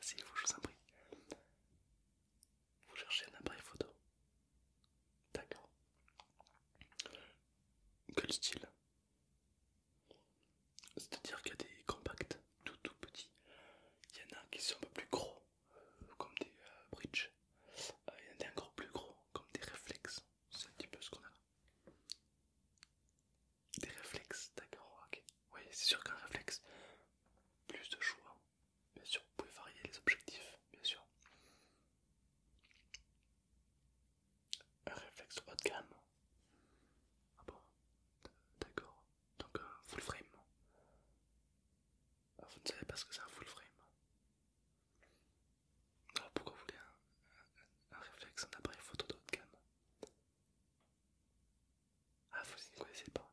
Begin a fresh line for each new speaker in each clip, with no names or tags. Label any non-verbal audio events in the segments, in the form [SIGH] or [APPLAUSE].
si vous je vous en Vous cherchez un appareil photo. D'accord. Quel style C'est-à-dire qu'il y a des compacts tout tout petits. Il y en a qui sont un peu plus gros, euh, comme des euh, bridges. Euh, il y en a des encore plus gros, comme des réflexes. C'est un petit peu ce qu'on a là. Des réflexes, d'accord, ok. Oui, c'est sûr qu'un réflexe, plus de choix. Bien sûr, vous pouvez varier les objectifs, bien sûr. Un réflexe haut de gamme. Ah bon D'accord. Donc un full frame. Ah, vous ne savez pas ce que c'est un full frame. Alors pourquoi vous voulez un, un réflexe, un appareil photo de haut de gamme ah, vous ne connaissez pas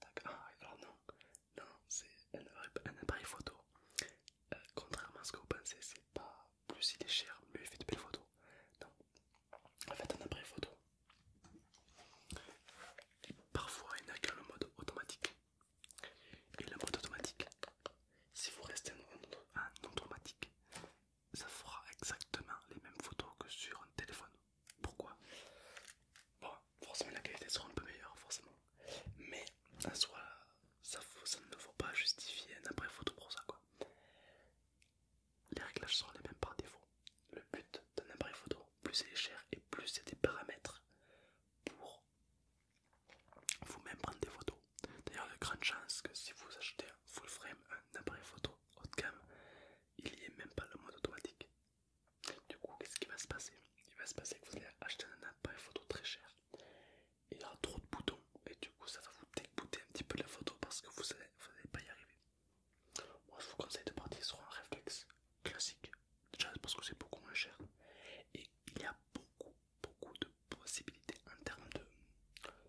D'accord, ah, alors non, non, c'est un, appareil photo. Euh, contrairement à ce que vous pensez, c'est pas plus il est cher, mieux il fait de belles photos. Non, en fait, un appareil photo. Parfois, il n'a qu'un mode automatique. Et le mode automatique, si vous restez un en automatique, ça fera exactement les mêmes photos que sur un téléphone. Pourquoi Bon, forcément la qualité sera un peu meilleure, forcément. Mais en ça, ne faut pas justifier un appareil photo pour ça quoi. Les réglages sont les mêmes par défaut. Le but d'un appareil photo, plus il est cher et plus il y a des paramètres pour vous-même prendre des photos. D'ailleurs, il y a de grandes chances que si vous achetez un full frame, un appareil photo, haut gamme, il n'y a même pas le mode automatique. Du coup, qu'est-ce qui va se passer Il va se passer que vous allez acheter un appareil photo très cher. il y aura trop de boutons et du coup ça va vous dégoûter un petit peu la photo parce que vous n'allez vous pas y arriver. Moi je vous conseille de partir sur un réflexe classique, déjà parce que c'est beaucoup moins cher et il y a beaucoup beaucoup de possibilités en termes de,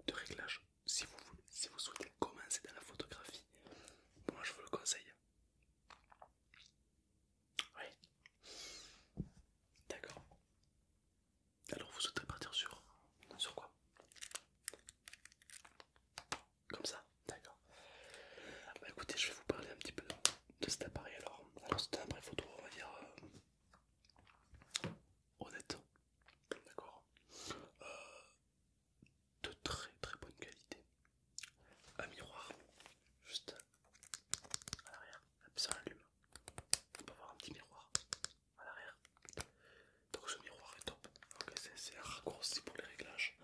de réglage si vous, si vous souhaitez commencer dans la photographie, moi je vous le conseille. Oui. D'accord. Alors vous souhaitez partir sur, sur quoi Comme ça D'accord. Ah bah écoutez, je vais vous parler un petit peu de, cet appareil alors. Alors c'est un appareil photo, on va dire... Euh, honnête d'accord euh, de très très bonne qualité. Un miroir juste à l'arrière, ça allume. On peut voir un petit miroir à l'arrière. Donc ce miroir est top. C'est un raccourci pour les réglages.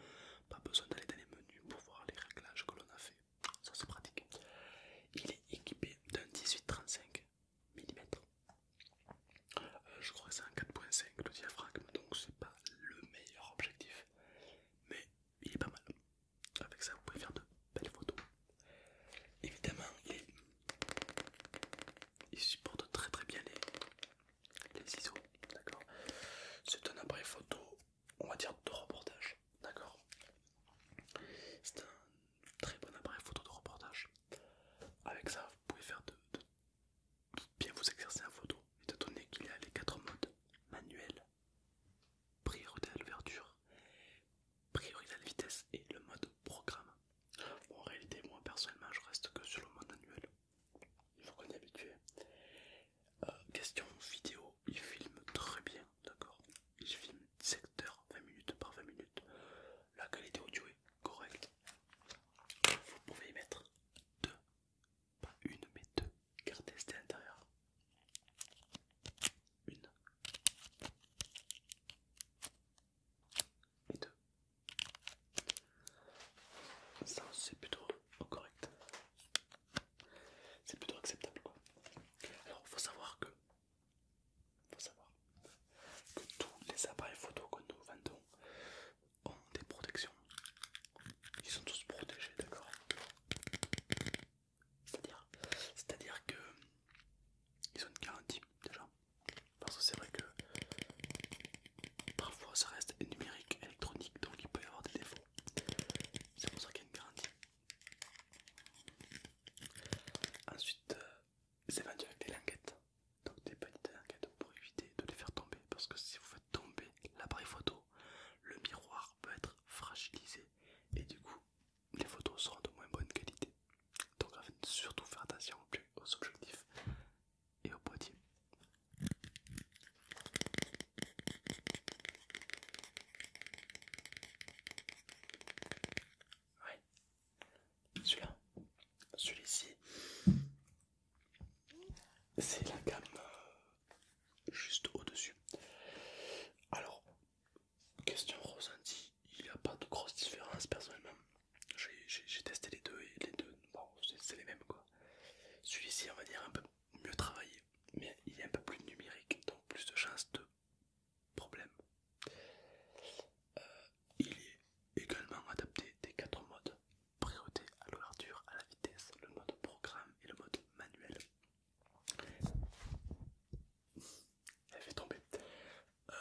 Pas besoin d'aller dans les menus pour voir les réglages que l'on a fait. Ça c'est pratique. Il est équipé d'un 1835 millimètres. Euh, je crois que c'est un 4.5 le diaphragme, donc c'est pas le meilleur objectif, mais il est pas mal. Avec ça, vous pouvez faire de belles photos. Évidemment, il, supporte très très bien les, les D'accord. C'est un appareil photo, on va dire de reportage. D'accord. C'est un très bon appareil photo de reportage. Avec ça, vous pouvez faire de, de bien vous exercer en photo, étant donné qu'il y a les quatre modes manuel, priorité à l'ouverture, priorité à la vitesse et le mode programme. en réalité, moi personnellement, je reste que sur le mode manuel. Il faut qu'on y habitué. Euh, question vidéo, il filme très bien, d'accord Il filme secteur heures, 20 minutes par 20 minutes. La qualité audio est correct. Vous pouvez y mettre deux, pas une mais deux cartes SD l'intérieur. Une et deux. Ça c'est plutôt correct. C'est plutôt acceptable quoi. Alors faut savoir que faut savoir que tous les appareils photo que nous vendons ont oh, des protections. Ils sont tous protégés, d'accord C'est-à-dire C'est-à-dire que ils ont une garantie déjà. Parce que c'est vrai que parfois ça reste numérique, électronique, donc il peut y avoir des défauts. C'est pour ça qu'il y a une garantie. Ensuite, c'est euh, vendu avec des languettes. Donc des petites pour éviter de les faire tomber parce que si vous faites tomber l'appareil photo, le miroir peut être fragilisé et du coup les photos seront de moins bonne qualité. Donc en fait, surtout faire attention aux objectifs et au boîtier. Ouais, celui-là, celui-ci, c'est la gamme euh, juste au-dessus. Alors, question ressentie, il n'y a pas de grosse différence personnellement. J'ai testé les deux et les deux, c'est les mêmes quoi. Celui-ci, on va dire un peu mieux travaillé, mais il est un peu plus numérique, donc plus de chances de problème. Euh, il est également adapté des quatre modes Priorité à l'ouverture, à la vitesse, le mode programme et le mode manuel. Elle fait tomber. Euh,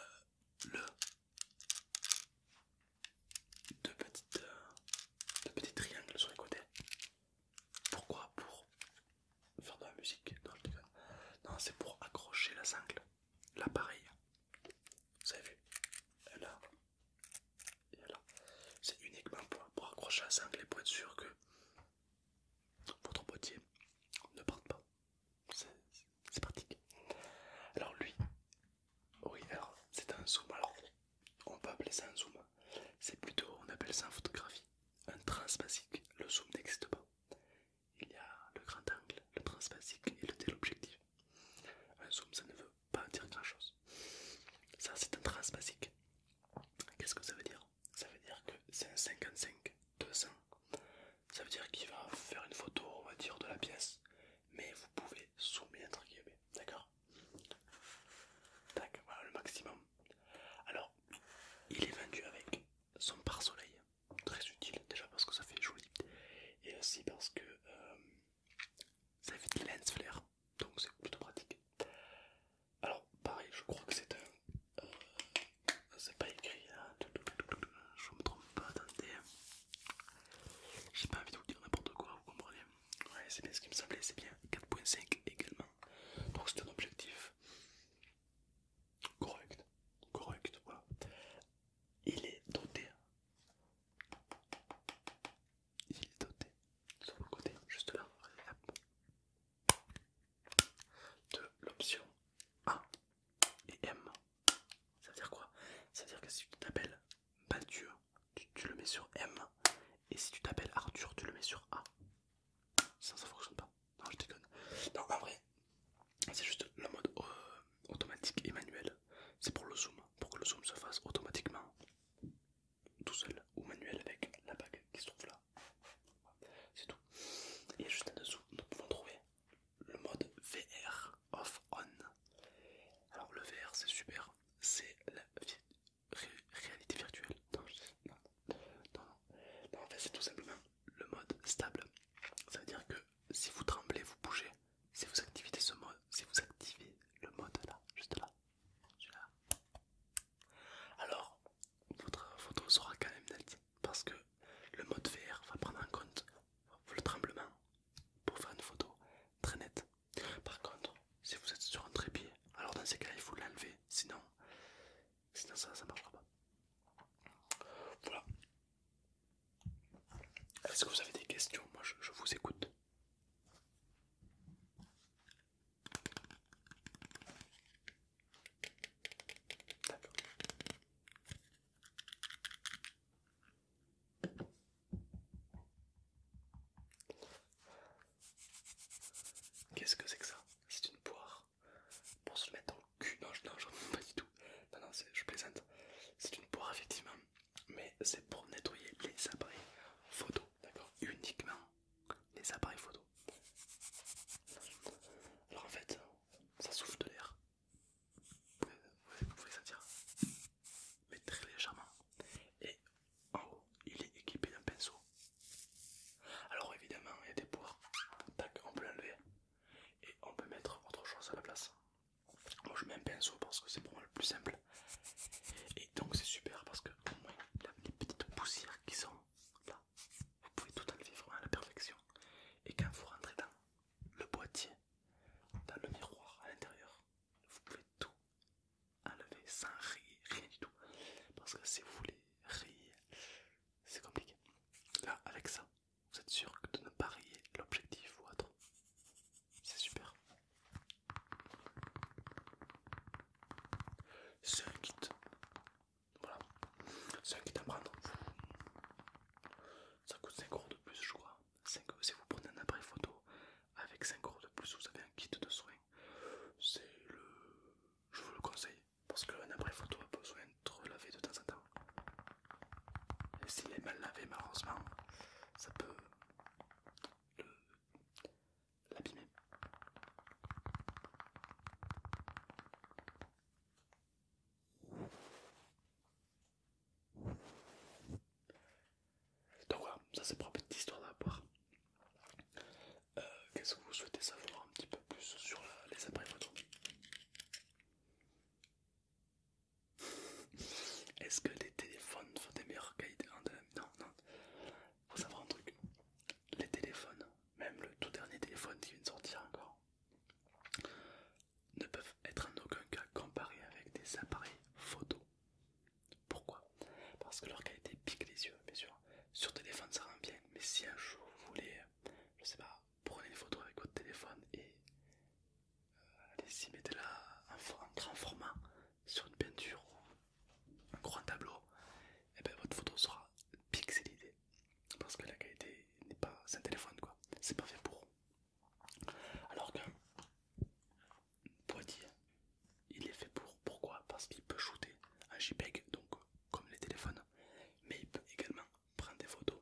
le deux, petites, euh, deux petits triangles sur les côtés. Pourquoi Pour faire de la musique. Non, je déconne. Non, c'est pour accrocher la sangle, l'appareil. Vous avez vu et c'est uniquement pour, accrocher à sangle et pour être sûr que votre boîtier ne parte pas. C'est pratique. Alors lui, oui, alors c'est un zoom. Alors on peut appeler ça un zoom. C'est plutôt, on appelle ça en photographie un transpacique, Le zoom n'existe pas. Il y a le grand angle, le transpacique et le téléobjectif. Un zoom, ça ne veut pas dire grand chose. Ça, c'est un trace basique. Qu'est-ce que ça veut dire Ça veut dire que c'est un 55-200. Ça veut dire qu'il va faire une photo, on va dire, de la pièce, mais vous pouvez zoomer entre guillemets. D'accord Tac, voilà le maximum. Alors, il est vendu avec son pare-soleil, très utile déjà parce que ça fait joli, et aussi parce que. Euh, ça évite des lens flair, donc c'est plutôt pratique. Alors, pareil, je crois que c'est un. Euh, c'est pas écrit, là hein. je me trompe pas, attendez. J'ai pas envie de vous dire n'importe quoi, vous comprenez Ouais, c'est bien ce qui me semblait, c'est bien 4.5 également. Donc, c'est un objectif correct, correct, voilà. Il est doté il est doté sur côté, juste là, de l'option A et M. Ça veut dire quoi Ça veut dire que si tu t'appelles Mathieu, tu, le mets sur M, et si tu t'appelles Arthur, tu le mets sur A. Ça, ça fonctionne pas. Non, je déconne. donc en vrai, c'est juste le mode euh, automatique et manuel c'est pour le zoom, pour que le zoom se fasse automatiquement tout seul ou manuel avec la bague qui se trouve là. C'est tout. Et juste en dessous, nous pouvons trouver le mode VR off on. Alors le VR c'est super, c'est la réalité virtuelle. Non, non, non. non en fait c'est tout simplement le mode stable. Ça veut dire que si vous tremblez, vous bougez, si vous activez ce mode, si vous activez le mode là, juste là, là alors votre photo sera quand même nette parce que le mode VR va prendre en compte le tremblement pour faire une photo très nette. Par contre, si vous êtes sur un trépied, alors dans ces cas il faut l'enlever, sinon, sinon ça, ça marchera pas. Voilà, est-ce que vous avez des questions Moi je, vous écoute. D'accord. Qu'est-ce que c'est que ça C'est une poire pour se mettre au cul. Non, je, non, pas du tout. Non, non, je plaisante. C'est une poire, effectivement mais c'est pour nettoyer les appareils photo, d'accord Uniquement les appareils photo. Alors en fait, ça souffle de l'air. Vous pouvez sentir, mais très légèrement. Et en haut, il est équipé d'un pinceau. Alors évidemment, il y a des poires. Tac, on peut l'enlever et on peut mettre autre chose à la place. Moi je mets un pinceau parce que c'est pour moi le plus simple. Et donc c'est super parce que au moins les petites poussières qui sont là, vous pouvez tout enlever vraiment à la perfection. Et quand vous rentrez dans le boîtier, dans le miroir à l'intérieur, vous pouvez tout enlever sans rire, rien du tout. Parce que si vous voulez rire, c'est compliqué. Là, avec ça, vous êtes sûr de ne pas rayer l'objectif ou autre, c'est super. C'est un kit. Voilà. C'est un kit à prendre. Ça coûte 5 euros de plus, je crois. si vous prenez un après photo avec 5 euros de plus, vous avez un kit de soins. C'est le. Je vous le conseille. Parce qu'un après photo a besoin de laver de temps en temps. Et s'il est mal lavé, malheureusement, ça peut l'abîmer. Donc voilà, ça c'est pour une petite histoire à euh, Qu'est-ce que vous souhaitez savoir un petit peu plus sur les appareils photo est-ce que les téléphones sont des meilleures qualités non, non, Faut savoir un truc. Les téléphones, même le tout dernier téléphone qui vient de sortir encore, ne peuvent être en aucun cas comparés avec des appareils photo. Pourquoi Parce que leur qualité pique les yeux, bien sûr. Sur téléphone, ça rend bien, mais si un jour vous voulez, je sais pas, prenez une photo avec votre téléphone et Allez si vous mettez-la en, grand format sur une peinture ou un grand tableau, et eh bien votre photo sera pixelisée parce que la qualité n'est pas. C'est un téléphone quoi, c'est pas fait pour. Alors que Poitiers, il est fait pour. Pourquoi Parce qu'il peut shooter en JPEG, donc comme les téléphones, mais il peut également prendre des photos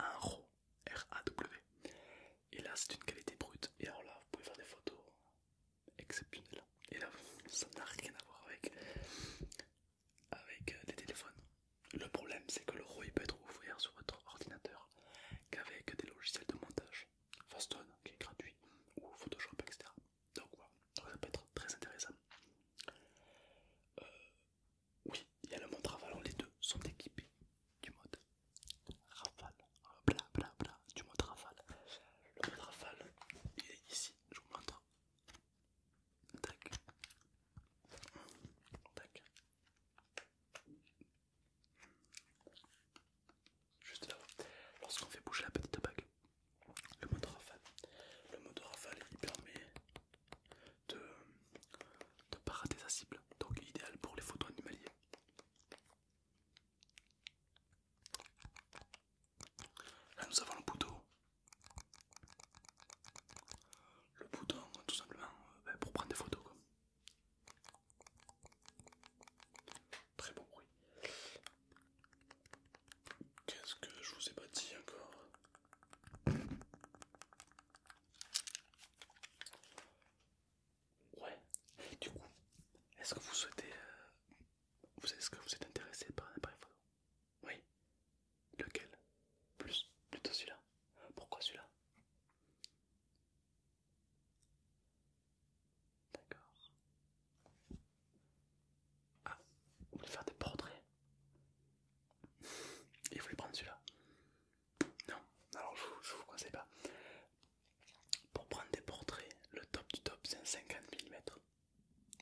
en RAW r Et là, c'est une qualité brute. Et alors là, vous pouvez faire des photos exceptionnelles. Et là, ça n'a rien à voir avec, avec des téléphones. Le problème, c'est que le roi peut être ouvert sur votre ordinateur qu'avec des logiciels de montage, Fastone qui est gratuit, ou Photoshop, etc. Donc voilà, ça peut être très intéressant. Euh, oui, il y a le montre avant, les deux sont équipés du mode rafale, bla bla bla, du mode rafale. Le mode rafale, il est ici, je vous montre. Juste là, lorsqu'on fait bouger la petite bague, le mode rafale, le mode rafale, il permet de, de rater sa cible, donc idéal pour les photos animaliers. Là nous avons le bouton. Le bouton tout simplement euh, ben, pour prendre des photos. Très bon bruit. Qu'est-ce que je vous ai pas dit encore Ouais. Du coup, est-ce que vous souhaitez... Euh, est-ce que vous êtes intéressé par un appareil photo Oui. Lequel Plus Plutôt celui-là. Pourquoi celui-là D'accord. Ah, vous voulez faire des portraits Et vous voulez prendre celui-là non, alors je ne vous conseille pas. Pour prendre des portraits, le top du top c'est un 50 mm.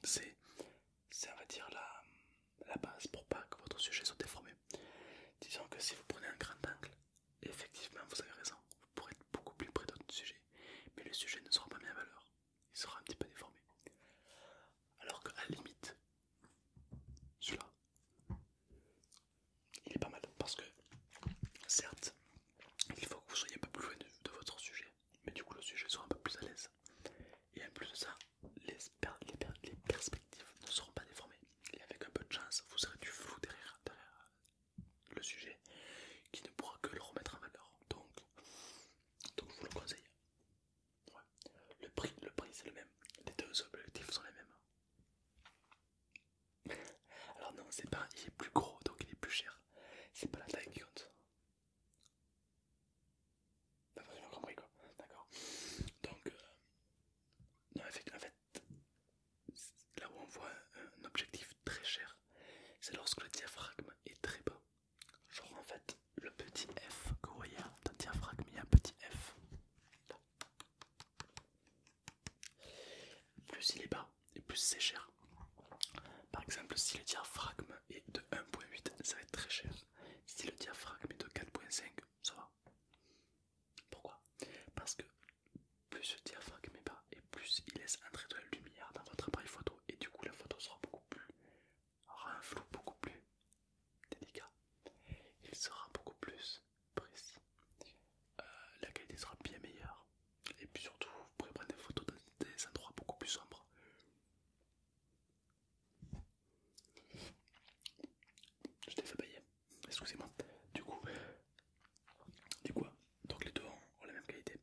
C'est, on va dire la, la base pour pas que votre sujet soit déformé. Disons que si vous prenez un grand angle, effectivement vous avez raison, vous pourrez être beaucoup plus près de votre sujet, mais le sujet ne sera pas mis à valeur, il sera un petit peu déformé. Alors qu'à la limite, celui-là, il est pas mal parce que certes il faut que vous soyez un peu plus loin de, votre sujet mais du coup le sujet sera un peu plus à l'aise et en plus de ça les, perspectives ne seront pas déformées et avec un peu de chance vous serez du flou derrière, le sujet qui ne pourra que le remettre en valeur donc, donc je vous le conseille le prix, le prix c'est le même les deux objectifs sont les mêmes alors non, c'est pas, il est plus gros donc il est plus cher. C'est pas la taille qui compte. quoi, d'accord. Donc, euh, fait, là où on voit un objectif très cher, c'est lorsque le diaphragme est très bas. Genre en fait, le petit F que vous voyez, dans diaphragme, il y a un petit F. Plus il est bas et plus c'est cher. Par exemple, si le diaphragme est de 1.8, ça va être très cher. Si le diaphragme est de 4.5, ça va. Pourquoi Parce que plus le diaphragme est bas et plus il laisse entrer de la lumière dans votre appareil photo et du coup la photo sera beaucoup plus aura un flou beaucoup plus délicat. Il sera beaucoup plus euh, la qualité sera bien meilleure. Et puis surtout, vous pourrez prendre des photos dans des endroits beaucoup plus sombres. Je t'ai fait bailler, excusez-moi. Du coup, du quoi donc les deux ont, la même qualité.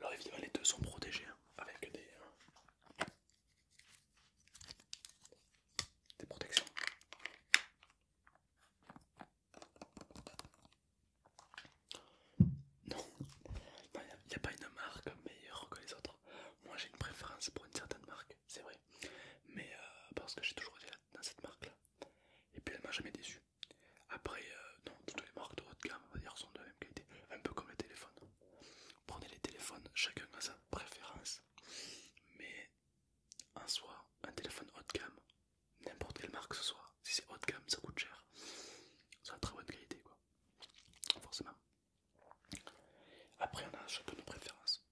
Alors évidemment, les deux sont protégés hein, avec des, euh, des protections. Non, il n'y a, pas une marque meilleure que les autres. Moi j'ai une préférence pour une certaine marque, c'est vrai. Mais euh, parce que j'ai toujours été dans cette marque là. Et puis elle m'a jamais déçu. Après, euh, non, toutes les marques de haut de gamme, sont de la même qualité. Un peu comme les téléphones. Prenez les téléphones, chacun a sa préférence. Mais en soi, un téléphone haut de gamme, n'importe quelle marque ce soit, si c'est haut de gamme, ça coûte cher, c'est la très bonne qualité quoi, forcément. Après, on a un chacun nos préférences,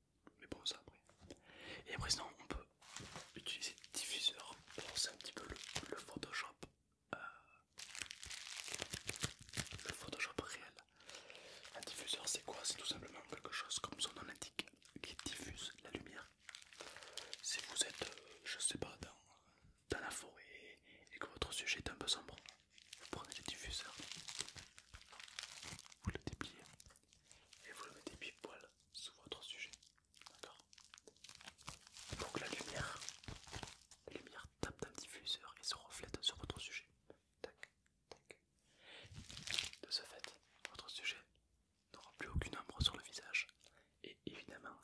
mais bon, ça après. Et après, sinon, on peut utiliser le diffuseur, c'est un petit peu le, Photoshop. Euh, le Photoshop réel. Un diffuseur, c'est quoi C'est tout simplement quelque chose, comme son nom qui diffuse la lumière si vous êtes, euh, je sais pas, dans, la forêt et que votre sujet est un peu sombre, vous prenez le diffuseur, vous le dépliez et vous le mettez pile poil sous votre sujet. D'accord Donc la lumière, la lumière tape dans le diffuseur et se reflète sur votre sujet. Tac, tac. De ce fait, votre sujet n'aura plus aucune ombre sur le visage et évidemment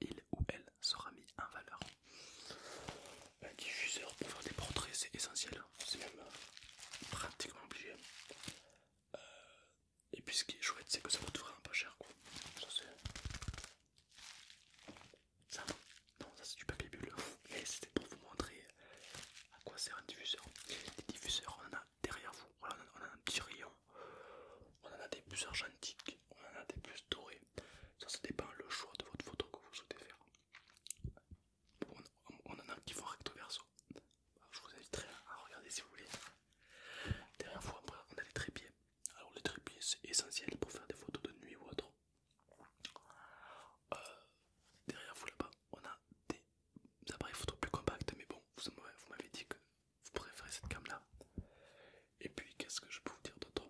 il ou elle sera mis en valeur. Un diffuseur pour faire des portraits c'est essentiel, c'est même euh, pratiquement obligé. Euh, et puis ce qui est chouette c'est que ça coûte vraiment pas cher quoi. Ça c'est... non, ça c'est du papier bulle. [LAUGHS] Mais c'était pour vous montrer à quoi sert un diffuseur. Des diffuseurs on a derrière vous. on a un petit rayon. On en a des plus argentiques, on en a des plus dorés Ça, ça dépend le choix de votre photo que vous souhaitez faire. On, en a qui font recto verso. Bah, je vous inviterai à regarder si vous voulez. Derrière vous, après, on a les trépieds. Alors, les trépieds, c'est essentiel pour faire des photos de nuit ou autre. Euh, derrière vous, là-bas, on a des appareils photo plus compacts, mais bon, vous m'avez dit que vous préférez cette gamme là. Et puis qu'est-ce que je peux vous dire d'autre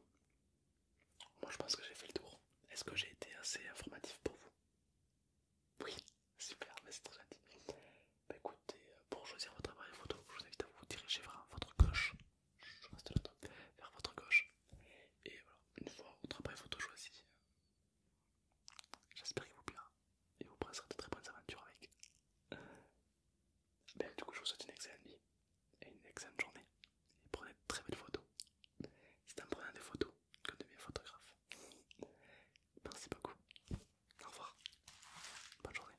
Moi je pense que j'ai fait le tour. Est-ce que j'ai été assez informatif pour vous Oui, [LAUGHS] super, mais c'est très gentil. Bah, écoutez, euh, pour choisir votre appareil photo, je vous invite à vous diriger vers votre gauche. Je reste là, vers votre gauche. Et voilà, une fois votre appareil photo choisi, J'espère qu'il vous plaira et vous passerez de très bonnes aventures avec. Euh, ben, du coup, je vous souhaite une excellente nuit et une excellente journée. Et prenez de très belles photos. C'est en prenant des photos de devient photographe. Merci beaucoup. Au revoir. Bonne journée.